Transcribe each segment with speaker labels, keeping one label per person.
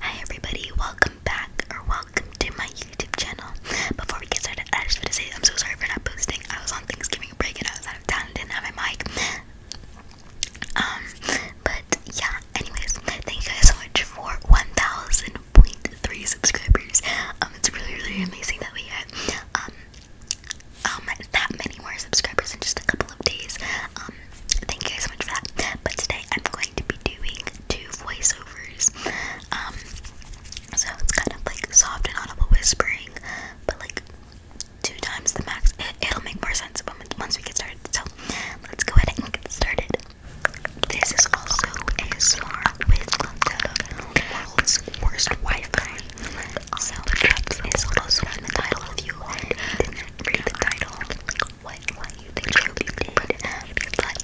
Speaker 1: Hi everybody, welcome back or welcome to my YouTube channel. Before we get started, I just want to say I'm so sorry for not posting. I was on Thanksgiving break and I was out of town and didn't have my mic. Um, but yeah, anyways, thank you guys so much for 1,000.3 subscribers. Um, it's really, really amazing that we hit um, um, that many more subscribers in just a couple of days. Um, thank you guys so much for that. But today I'm going to be doing two voiceovers. Um, so it's kind of like soft and audible whispering, but like two times the max. It, will make more sense once we get started. So let's go ahead and get started. This is also a smart with the world's worst Wi-Fi. So that is also in the title if you didn't read the title what what you think you did, but I mean, let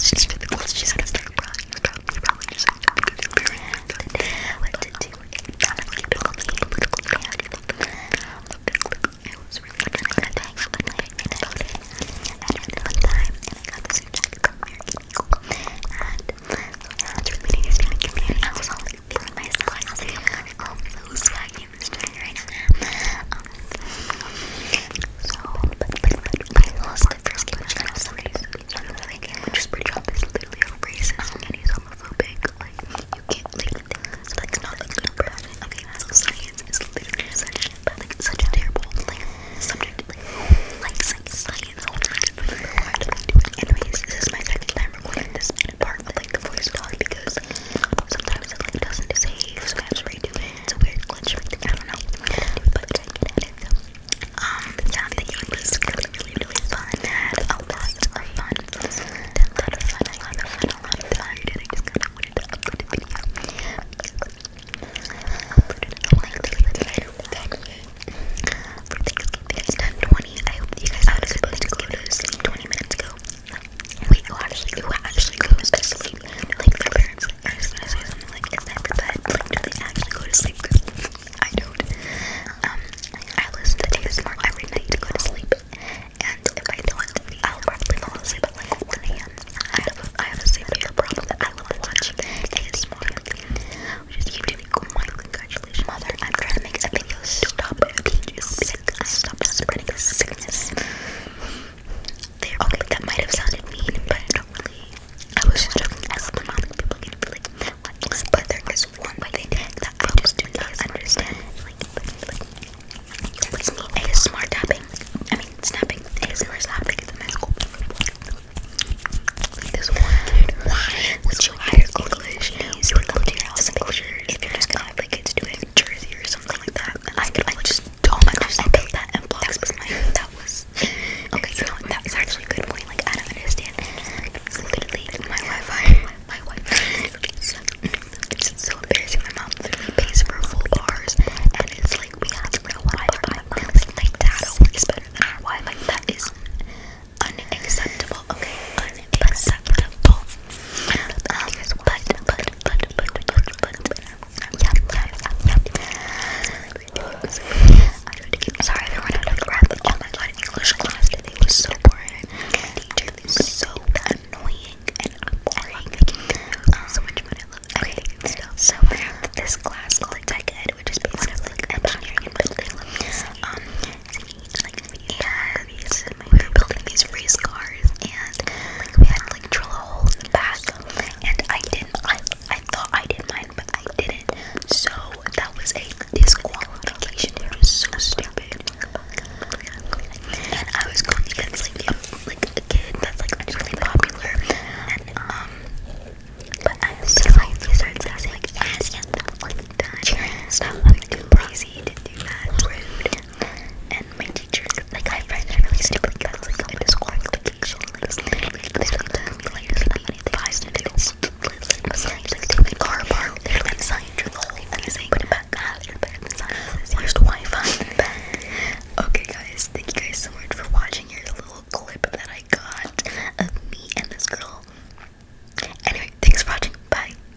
Speaker 1: just let's just let's start crying. You probably probably just have to be very what to do. Honestly, it told me it was really good. I got back up at night and I did and I had fun time and I got the suit jacket and so really nice to meet you and I was all like feeling myself. Um, it was like name is doing right now. Um, so, but, but, but I lost the first game which I was somebody who's game, which is pretty job is literally a racist and he's homophobic. Like, you can't, like, so that's not a good person. Okay, so science is literally such, but, like, such a terrible, like, subject. Like, like science, science, all time. Anyways, this is my second time. I'm recording this part of like the voice talk because sometimes it like doesn't save, so I have it. It's weird glitch I don't know. But um, yeah, the game was really, really, fun. had a lot of fun. A lot of fun, a lot of fun, a lot of fun. And I just kind of wanted to upload the video. For Thanksgiving, it's 10:20. I hope you guys had a good Thanksgiving. It was 20 minutes ago. We actually, who actually goes to sleep. Like their parents, like, I just want to like, is bed? Like, do they actually go to sleep? I don't. Um, I listen to Taylor ASMR every night to go to sleep. And if I don't, I'll probably fall asleep at like 1 a.m. I have a, I have a severe problem that I love watching ASMR. Which is YouTube. Oh my, congratulations. Mom, I'm trying to make a video. Stop being sick. Stop spreading the sickness. okay, that might have sounded mean, but I don't really. I was just joking. I love my People But there is one thing that I just do not understand. Like, it's me tapping. I mean, snapping. It's a nice school. one kid. Why would you hire English? You would go to your house and culture if you're just like it's doing Jersey or something like that. I, could, I just do that in blocks. That That was. Okay, so actually a good point. Like I don't understand. It's literally my Wi-Fi. My Wi-Fi. It's, so embarrassing. My mom literally pays for full bars, and it's like we have no Wi-Fi. Like that always better than our Wi-Fi. That is unacceptable. Okay, it makes but, but, but, um, but, but, but, but, but, but, but, yeah, yeah, yeah, yeah. Sorry if I ran out of breath. Oh my god, English class today was so boring. The teacher was so annoying and boring. Um, so much fun, I love everything and stuff. So this class called Tech Ed, which is based on like engineering and building. Um, like we were building these race cars and we had like drill a in the back and I didn't I I thought I did mine but I didn't so that was a disqualification it was so stupid I was going against like a, kid that's like really popular and um but I was like these are like like that. like too lazy to do that and my teachers, like I find that really stupid because like I'm in school vacation, like this literally took me like maybe five minutes. Science, like they made car bar, they're like science for the whole amazing. Put it back, ah, you're better than science. Where's the Wi-Fi? Okay, guys, thank you guys so much for watching. Here's a little clip that I got of me and this girl. Anyway, thanks for watching. Bye.